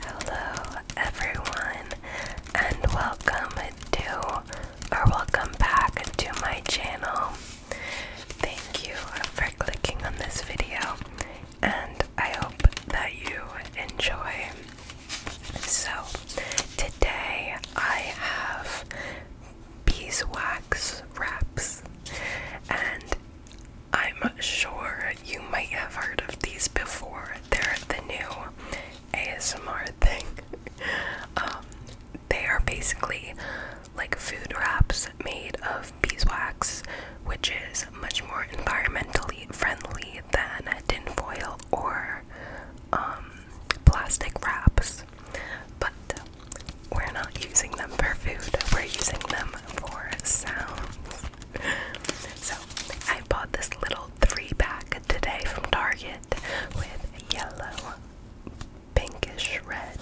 Hello, everyone, and welcome to or welcome back to my channel. Thank you for clicking on this video, and I hope that you enjoy. So, today I have beeswax wraps, and I'm sure you might have heard of these before. They're the new ASMR thing. Um, they are basically like food wraps made of beeswax, which is much more environmentally friendly than foil or um, plastic wraps. But we're not using them for food, we're using them for sounds so I bought this little three pack today from Target with yellow, pinkish red,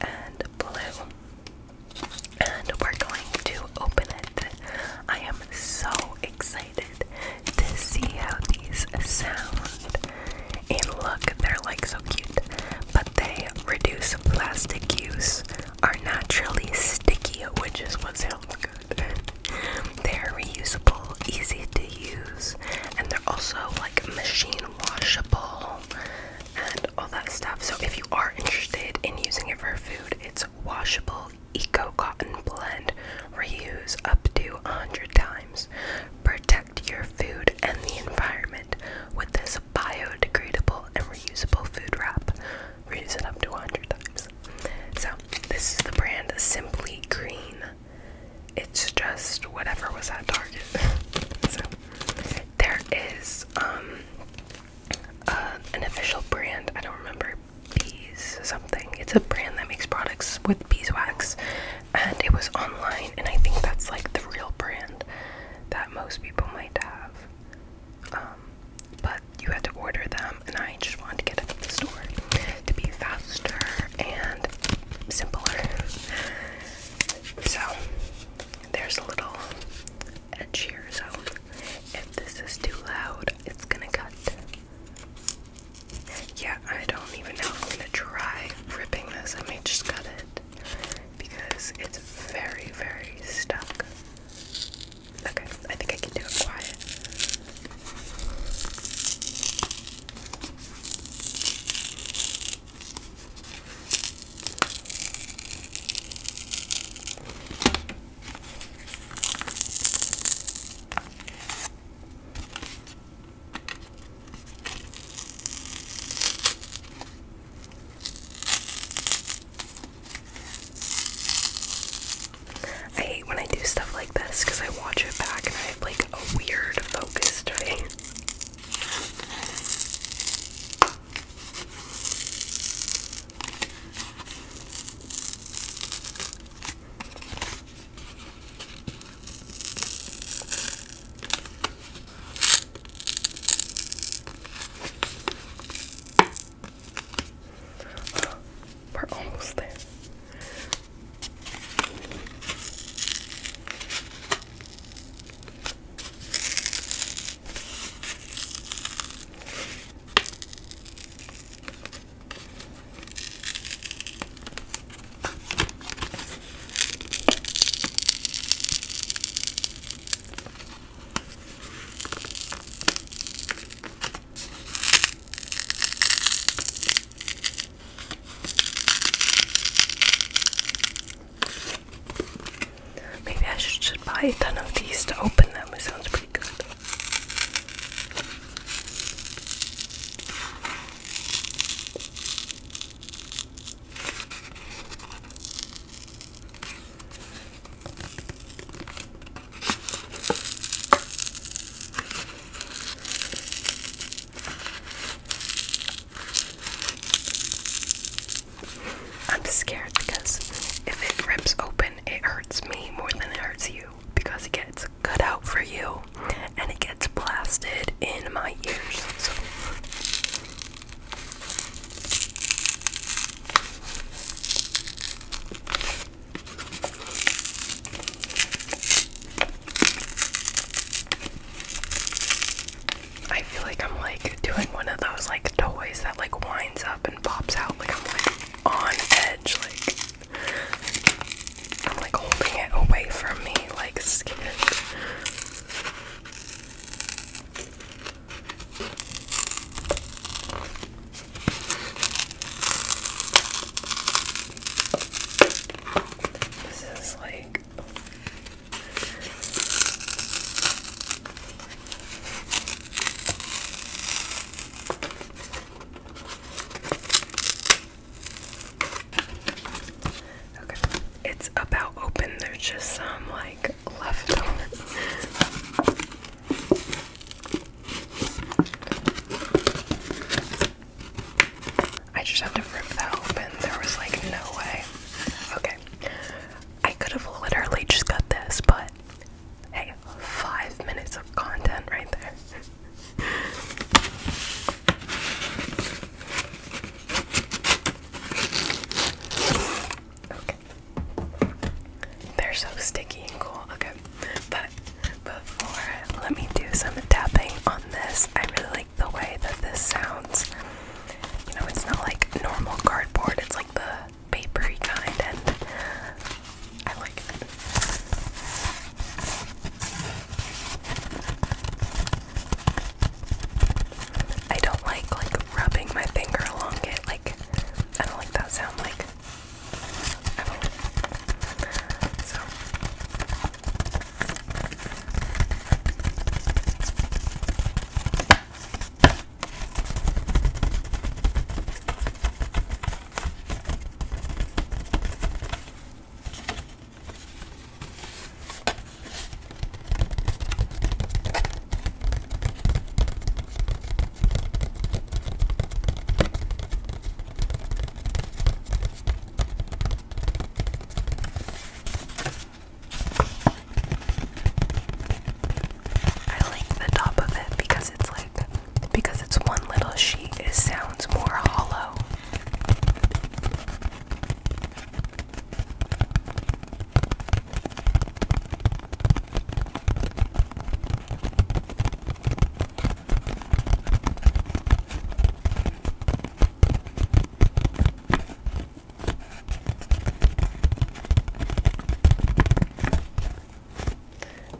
and blue. And we're going to open it. I am so excited to see how these sound. And look, they're like so cute. But they reduce plastic use are naturally sticky, which is what sounds good. They're reusable, easy to use, and they're also like machine washable and all that stuff. So if you are interested in using it for food, it's washable eco cotton blend. Reuse up to 100 times. Protect your food and the environment with this biodegradable and reusable food wrap or use it up to 100 times. So, this is the brand Simply Green. It's just whatever was at Target. so, there is um, uh, an official brand, I don't remember, Bees something. It's a brand that makes products with beeswax, and it was online, and I think that's like the real brand that most people might have. Um, um, but you had to order them, and I just wanted to get it at the store to be faster and simpler. So there's a little edge here. So if this is too loud, it's gonna cut. Yeah, I don't even know if I'm gonna try ripping this. I may just cut it because it's very, very stuck. Okay, I think I can do it quiet. I hate when I do stuff like this because I watch it back and I have like a weird focus today. We're almost there. Maybe I should, should buy a ton of these to open them. It sounds pretty good. I'm scared because if it rips open, it hurts me more than it hurts you because it gets cut out for you and it gets blasted in my ears. I feel like I'm like doing one of those like toys that like winds up and pops out. Like I'm like on edge. Like I'm like holding it away from me. Like scared. This is like it's about open. There's just some like left over. I just had to rip that open. There was like no way. Okay. I could have literally just got this, but hey, five minutes of content right there. Okay. They're so sticky and cool. Okay. But before, let me do some tapping on this. I really like the way that this sounds. You know, it's not like normal cardboard, it's like the papery kind, and I like it. I don't like like rubbing my finger along it. Like I don't like that sound. Like I like the top of it because it's like because it's one little sheet, it sounds more hollow.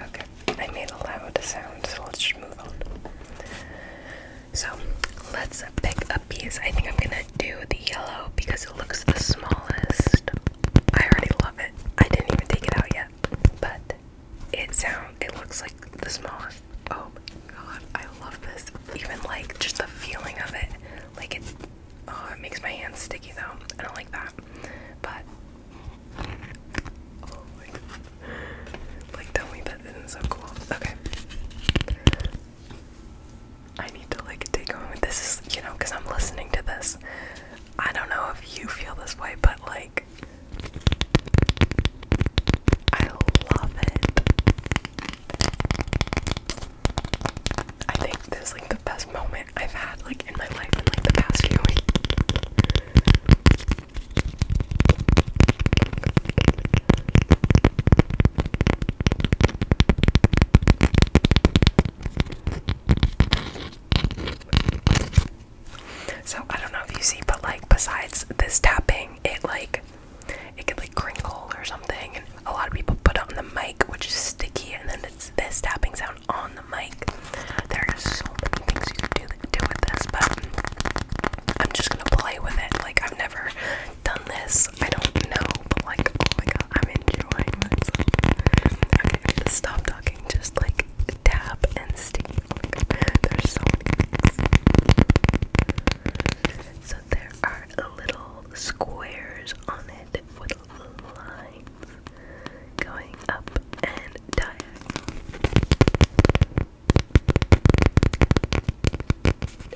Okay, I made a loud sound, so let's just move on. So let's pick a piece. I think I'm gonna do the yellow because it looks the smallest. I already love it. I didn't even take it out yet, but it sounds. it looks like the smallest. Oh god, I love this. Even like just the feeling of it. Like it oh it makes my hands sticky though. I don't like that. But oh Like tell me that isn't so cool. Okay. I need to like take a moment. This is, you know, because I'm listening to this. I don't know if you feel this way, but like, I love it. I think this is like the best moment I've had like in my life in like the past few weeks. So I don't know if you see, but like besides this tapping, it like it could like crinkle or something. And a lot of people put it on the mic, which is sticky, and then it's this tapping sound on the mic. There are so many things you can do, do with this, but I'm just gonna play with it. Like I've never done this. I don't know, but like, oh my god, I'm enjoying myself. Okay, stop talking. Just like tap and steam. there's so many. So there are little squares on it with lines going up and diagonal.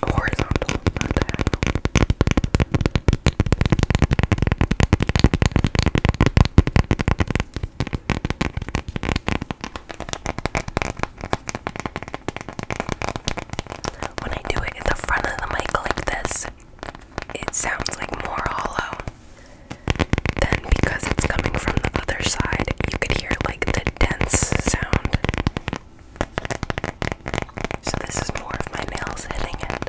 Horizontal, not diagonal. When I do it in the front of the mic like this, it sounds like more hollow. Then, because it's coming from the other side, you could hear like the dense sound. So this is more of my nails hitting it.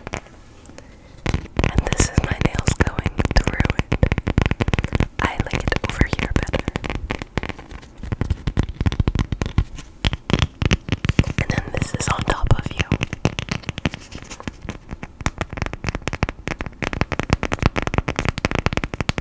And this is my nails going through it. I like it over here better. And then this is on top of you.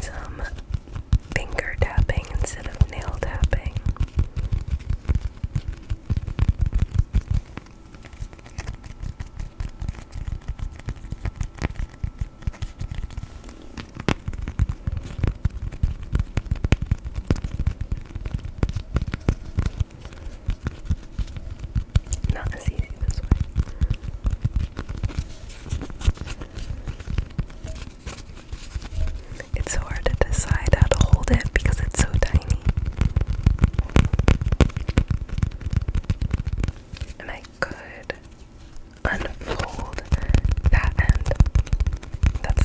some finger tapping instead of nail tapping. Not as easy this way. It's so hard to decide how to hold it because it's so tiny. And I unfold that end. That's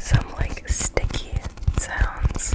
some like sticky sounds.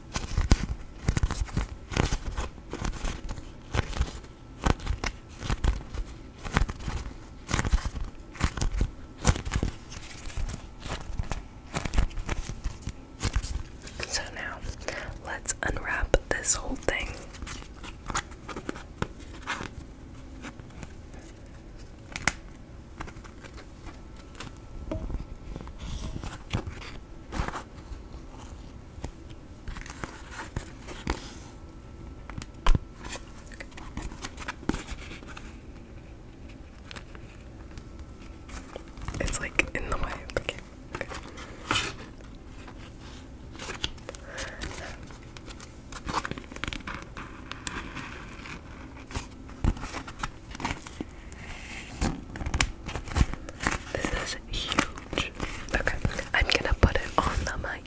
So now let's unwrap this whole thing. It's like in the way. Okay. okay. This is huge. Okay, I'm gonna put it on the mic.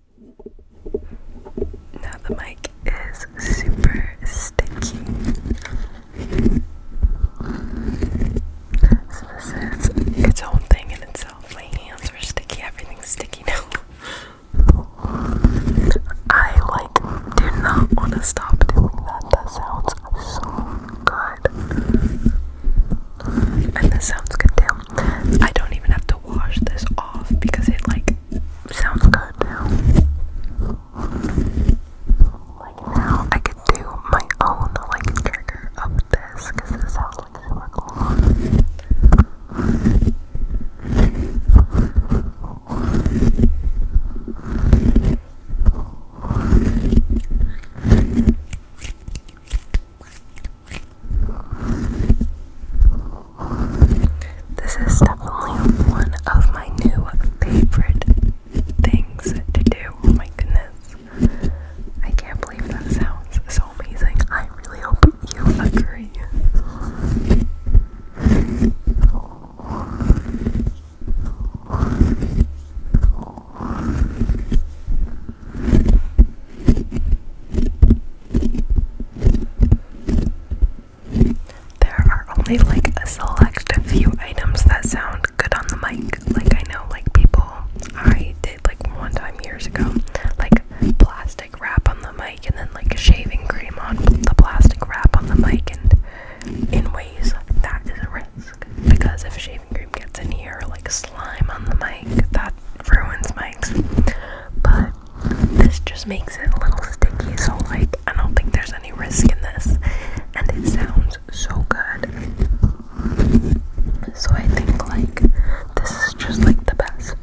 Now the mic is super sticky. So its own thing in itself. My hands are sticky, everything's sticky now. I like do not want to stop doing that. That sounds so good. And this sounds good too. I don't even have to wash this off because it like sounds good now. Like now I could do my own like trigger of this because this sounds like super cool. This is definitely one of my new favorite things to do. Oh my goodness. I can't believe that sounds so amazing. I really hope you agree. There are only like a select few items that sound good on the mic. Like I know like people I did like one time years ago, like plastic wrap on the mic and then like shaving cream on the plastic wrap on the mic and in ways that is a risk because if shaving cream gets in here like slime on the mic. That ruins mics. But this just makes it a little sticky, so like I don't think there's any risk in this. And it sounds so good. So I think like this is just like the best.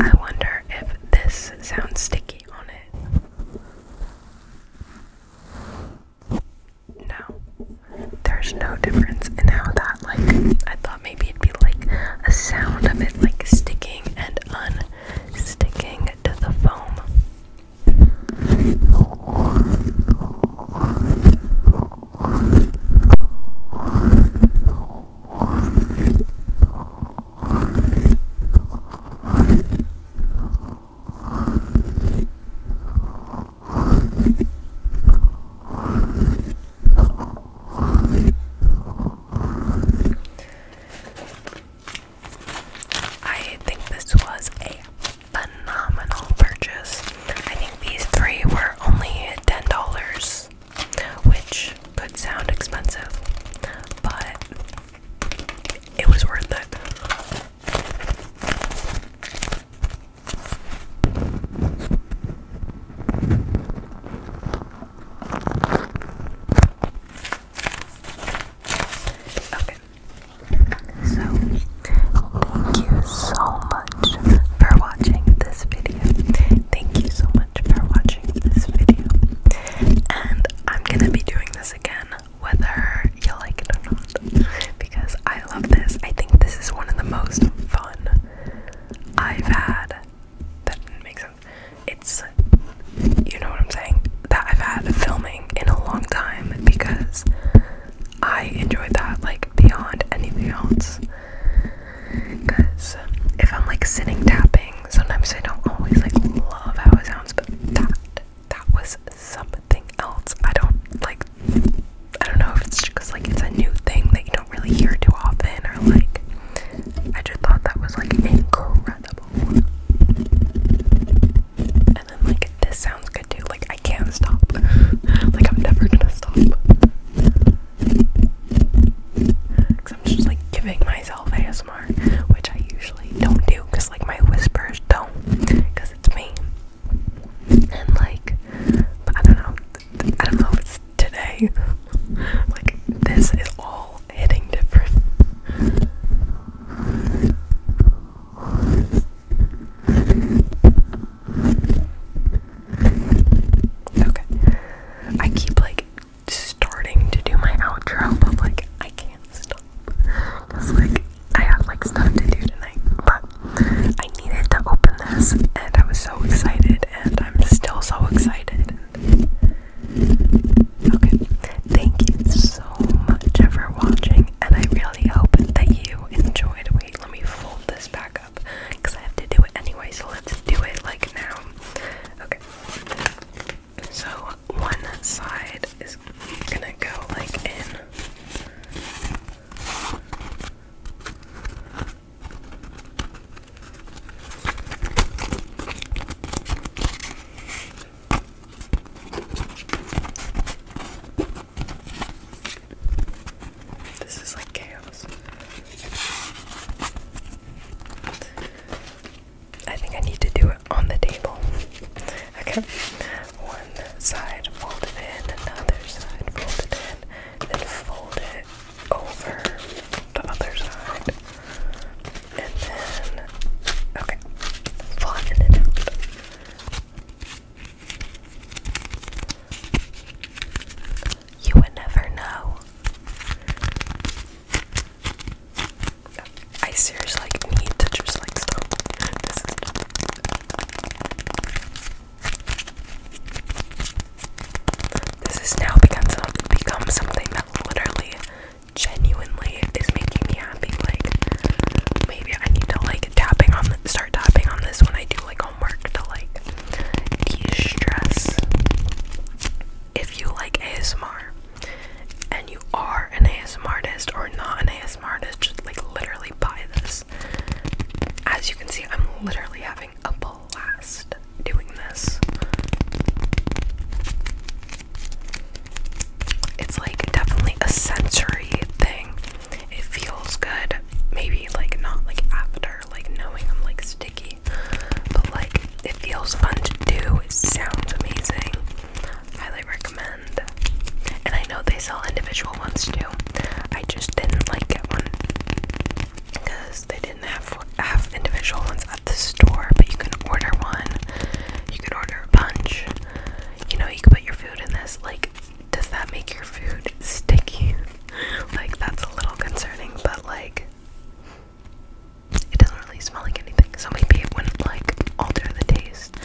I wonder if this sounds sticky on it. No, there's no difference in how that, like, I thought maybe it'd be like a sound of it, like, sticking and unsticking to the foam. I think this was a phenomenal purchase. I think these three were only $10, which could sound expensive, but it was worth it. Okay. So, thank you so much for watching this video. Thank you so much for watching this video. And I'm gonna be doing this again whether you like it or not because I love this. I think this is one of the most fun I've had. That didn't make sense. It's, you know what I'm saying, that I've had filming in a long time because I enjoy that like beyond anything else. Because if I'm like sitting tapping, Sometimes I don't always like love how it sounds, but that that was something else. I don't like I don't know if it's because like it's a new thing that you don't really hear too often or like I just thought that was like incredible. And then like this sounds good too. Like I can't stop. like I'm never gonna stop. Cause I'm just like giving myself self which I usually don't do like my whispers don't, it's me. And like, but I don't know, I don't know if it's today. like this is all hitting different. Okay. I keep like starting to do my outro, but like I can't stop because like I have like stuff to do tonight. But I needed to open this, and I was so excited, and I'm still so excited. Okay, thank you so much for watching, and I really hope that you enjoyed. Wait, let me fold this back up because I have to do it anyway. So let's do it like now. Okay. So one side is gonna go like in. This is like chaos. I think I need to do it on the table. Okay. One side, fold it in, another side, fold it in, then fold it over the other side. And then, okay, flatten it out you would never know. I seriously need to just like stop. This is now become something that literally genuinely is making me happy. Like maybe I need to like tapping on start tapping on this when I do like homework to like de-stress if you like ASMR and you are an ASMR artist or not an ASMR artist, just like literally buy this. As you can see, I'm literally having a blast doing this. It's like definitely a sensory thing. It feels good. Maybe like not like after like knowing I'm like sticky but like, it feels fun to do. It sounds amazing. Highly recommend. And I know they sell individual ones too. I just didn't like get one because they didn't have have individual ones at the store. But you can order one. You can order a bunch. You know, you can put your food in this. Like, does that make your food sticky? like, that's a little concerning. But like. It doesn't really smell like anything, so maybe it wouldn't like alter the taste.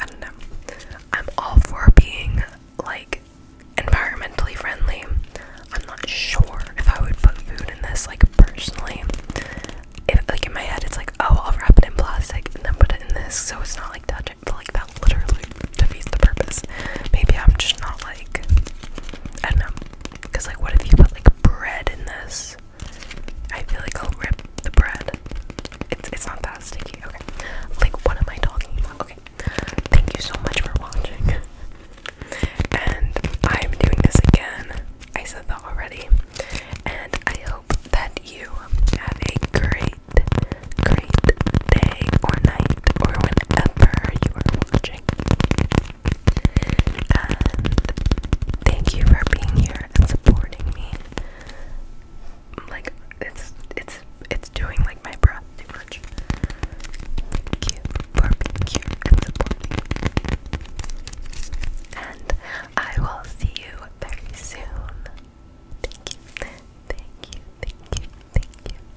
I don't know. I'm all for being like environmentally friendly. I'm not sure if I would put food in this like personally. If, like in my head, it's like, oh, I'll wrap it in plastic and then put it in this, so it's not like touching. like that literally defeats the purpose. Maybe I'm just not like I don't know. Because, like, what if you put, like, bread in this? I feel like I'll rip the bread. It's, it's not that sticky. Okay. Like, what am I talking about? Okay. Thank you so much for watching. and I'm doing this again. I said that already. And I hope that you have a great, great day or night or whenever you are watching thank you for being here and supporting me. Like it's it's it's doing like my breath too much. Thank you for being here and supporting. And I will see you very soon. Thank you. Thank you. Thank you. Thank you.